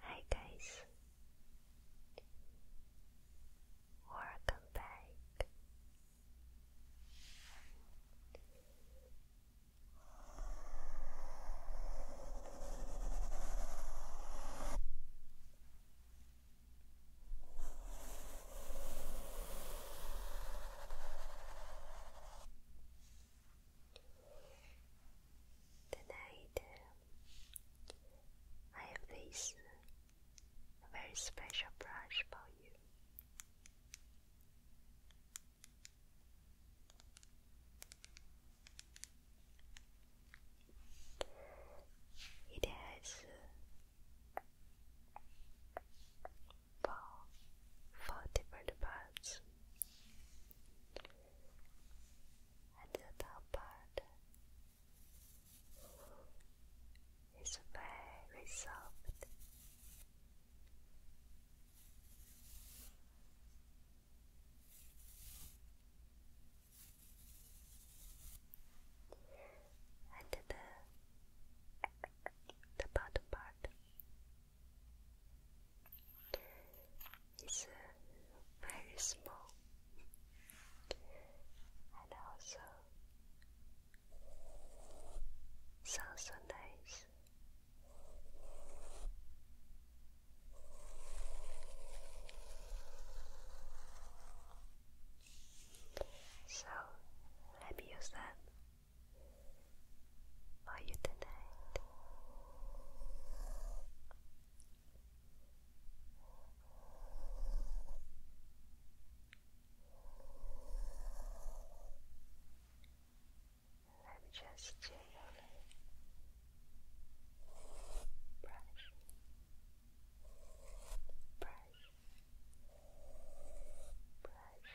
Hi guys, welcome back. Tonight, uh, I have this very special brush for you. It has uh, four different parts and the top part is very soft. And the the bottom part it's uh, very small and also sounds so nice. So let me use them for you tonight. Let me just gently brush, brush, brush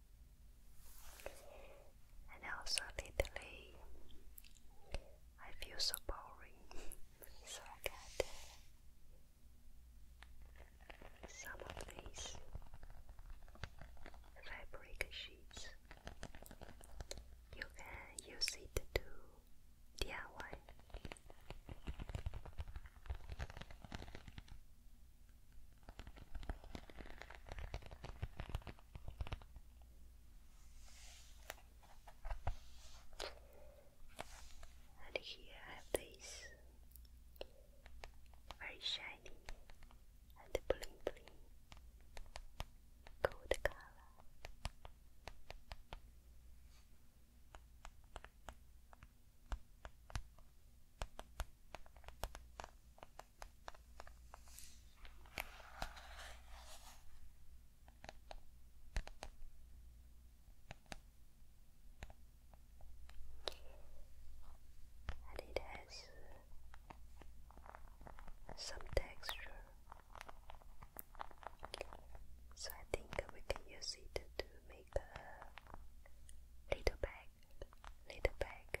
And also lately, I feel so boring, so I got some of these fabric sheets. You can use it to DIY. And here I have this very shiny and bling bling gold color and it has some texture, so I think we can use it to make a little bag, little bag.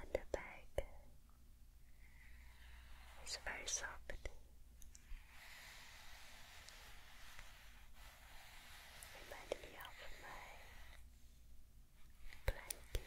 and the bag is very soft. Remind me my blanket.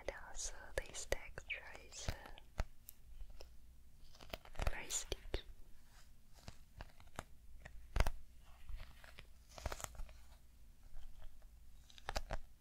And also, these texture is very sticky.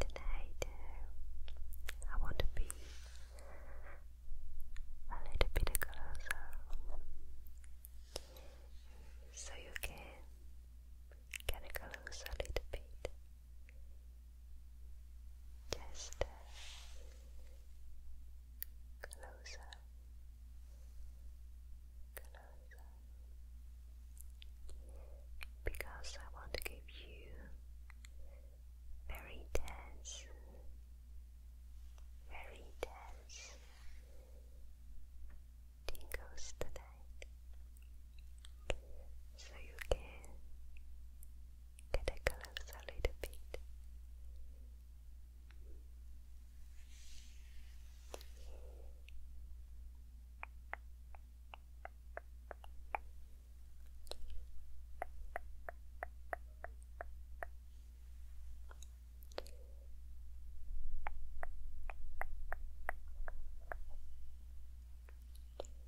Tonight, I want to be a little bit closer so you can get close a little bit. Just uh, closer, closer, because I want to give you very intense, very intense tingles tonight, so you can. Get a little bit.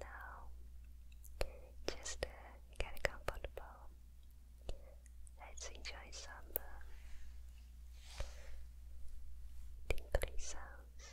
Now, just uh, get comfortable. Let's enjoy some uh, sounds.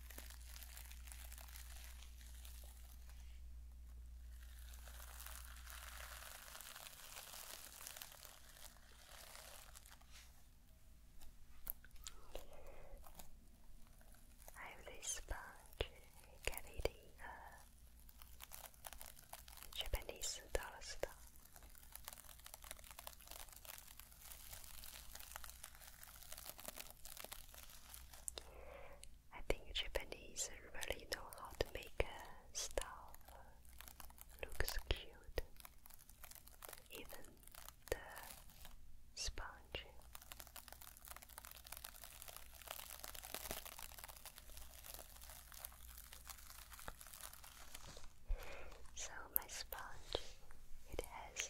Hively sponge 可以的一个雪本丽丝到了四道。I think Japanese really know how to make stuff looks cute. Even the sponge. So my sponge, it has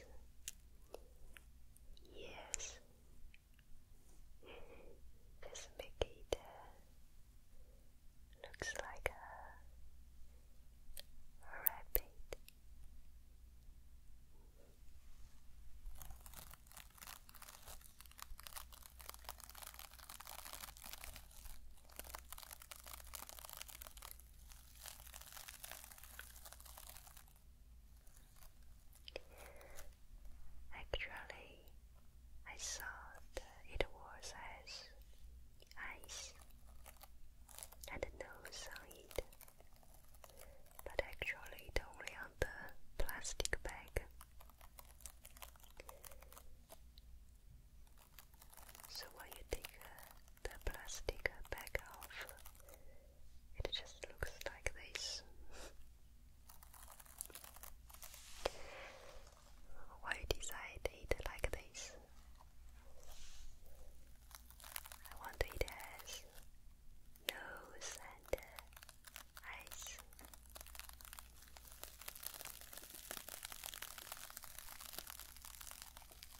Yes. this Mikita looks like a rabbit. Actually, I thought it was as ice and nose on it, but actually it's only on the plastic bag. So when you take uh, the plastic uh, back off, it just looks like this. Why decide it like this? I want it as nose and uh, eyes.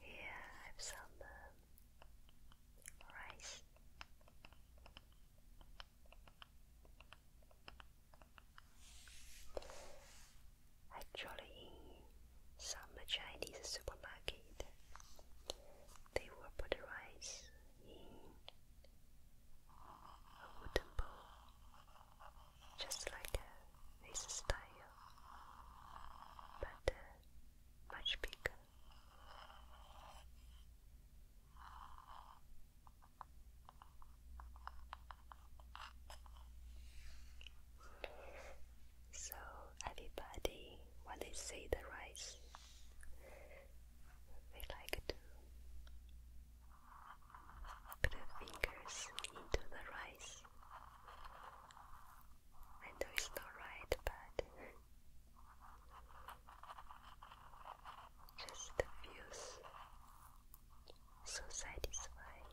Here I have some um, rice. Actually, in some Chinese supermarket, they will put the rice in a wooden bowl, just like a this style, but uh, much bigger. So everybody, when they see the rice, they like to put their fingers into the rice. I know it's not right, but just feels so satisfying.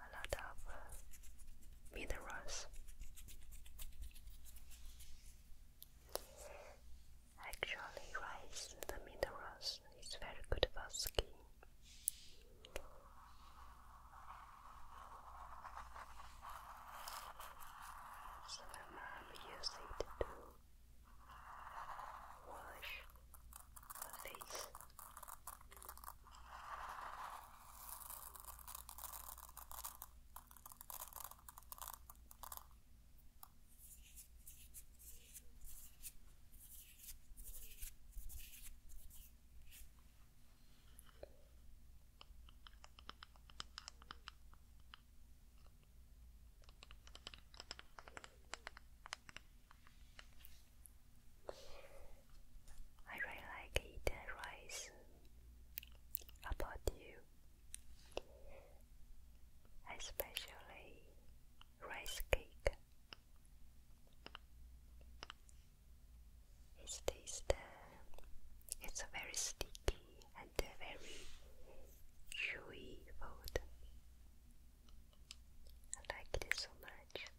A lot of minerals. Actually, rice the minerals because he's very good about skiing. So my mom used it to wash her face. I really like eating rice. About you, especially rice cake. It tastes, uh, it's very sticky and very chewy food. I like it so much.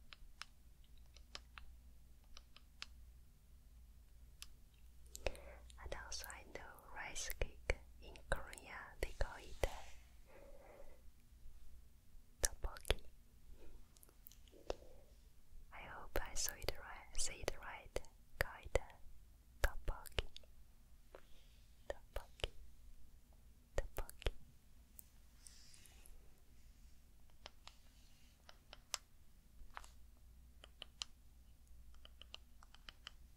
And also I know rice cake in Korea they call it uh, Tteokbokki. I hope I saw it right, say it right, guide. Tteokbokki. Tteokbokki. Tteokbokki.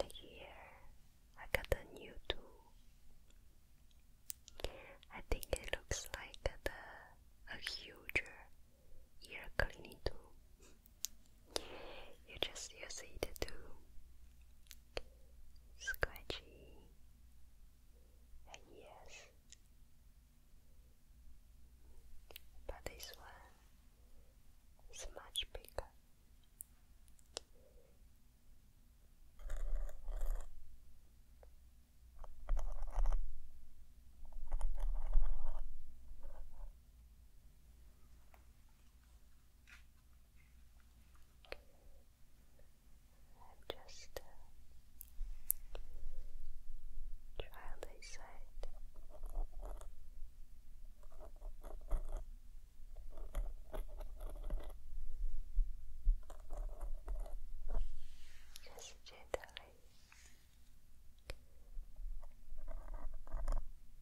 And here I got a new tool. I think it looks like the, a huger uh, ear cleaning tool. You just use it to scratching and yes, but this one is much bigger. I'm just uh, Trial by side. Just gently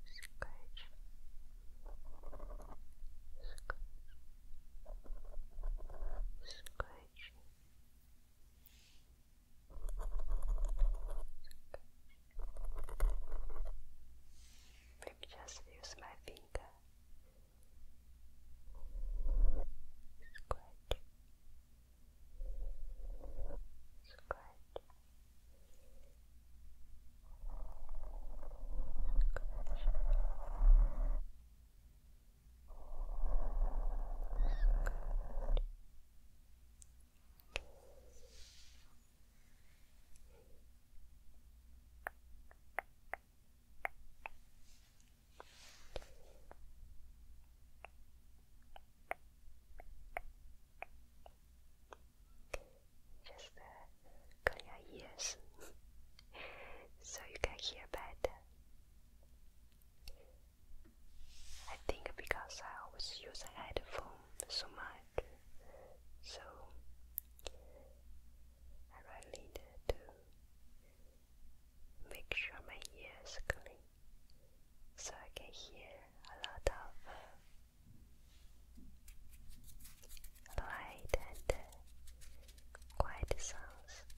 scratch, scratch, scratch. Let just use my finger. Scratch. Scratch. Scratch. Just uh, clear your ears so you can hear better. I think because I always use a headphone so much, so I really need to make sure my ears clean so I can hear a lot of light and uh, quiet sounds.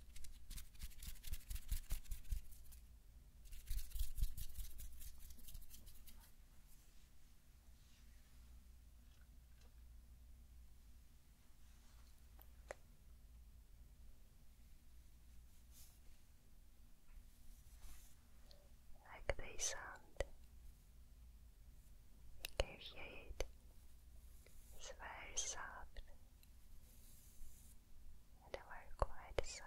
Like they sound. Can you hear it? It's very soft and a very quiet sound.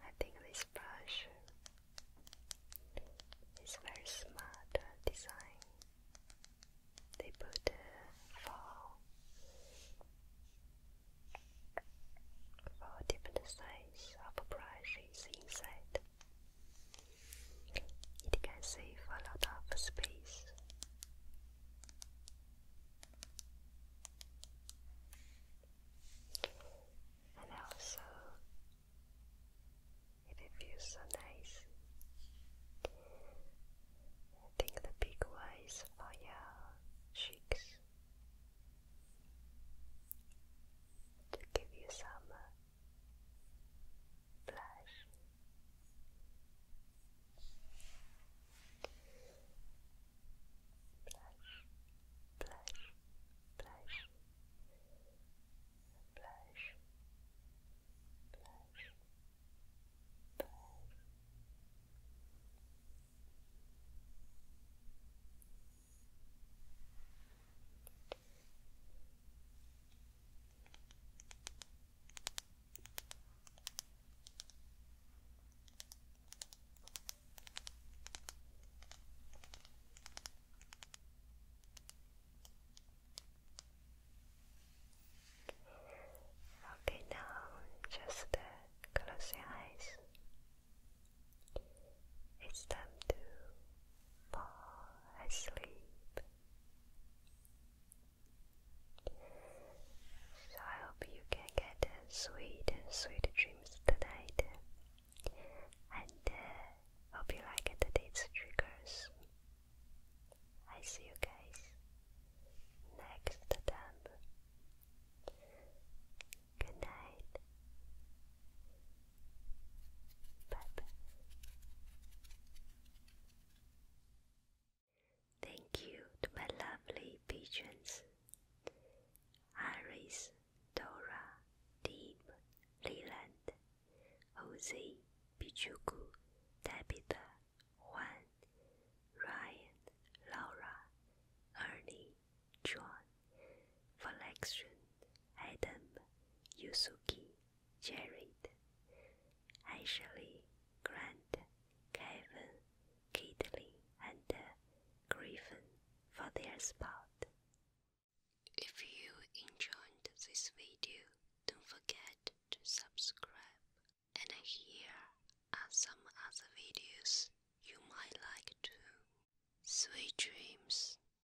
I think this brush is very smart design. They put for for different size of brushes inside. It can save a lot of space. And also, it feels so nice. I think the big one is your cheeks to give you some uh, flash. Blush, blush, blush, blush, blush, Okay, now just uh, close your eyes. It's time to fall asleep. So I hope you can get sweet, sweet dreams tonight. And uh, hope you like today's triggers. I see you guys next time. Good night. Thank you to my lovely pigeons Iris, Dora, Deep, Leland, Jose, Pichuku, Tabitha, Juan, Ryan, Laura, Ernie, John, Valexion, Adam, Yusuke, Jared, Ashley, Grant, Kevin, Kitley, and uh, Griffin for their spot. If you enjoyed this video, don't forget to subscribe. And here are some other videos you might like too. Sweet dreams.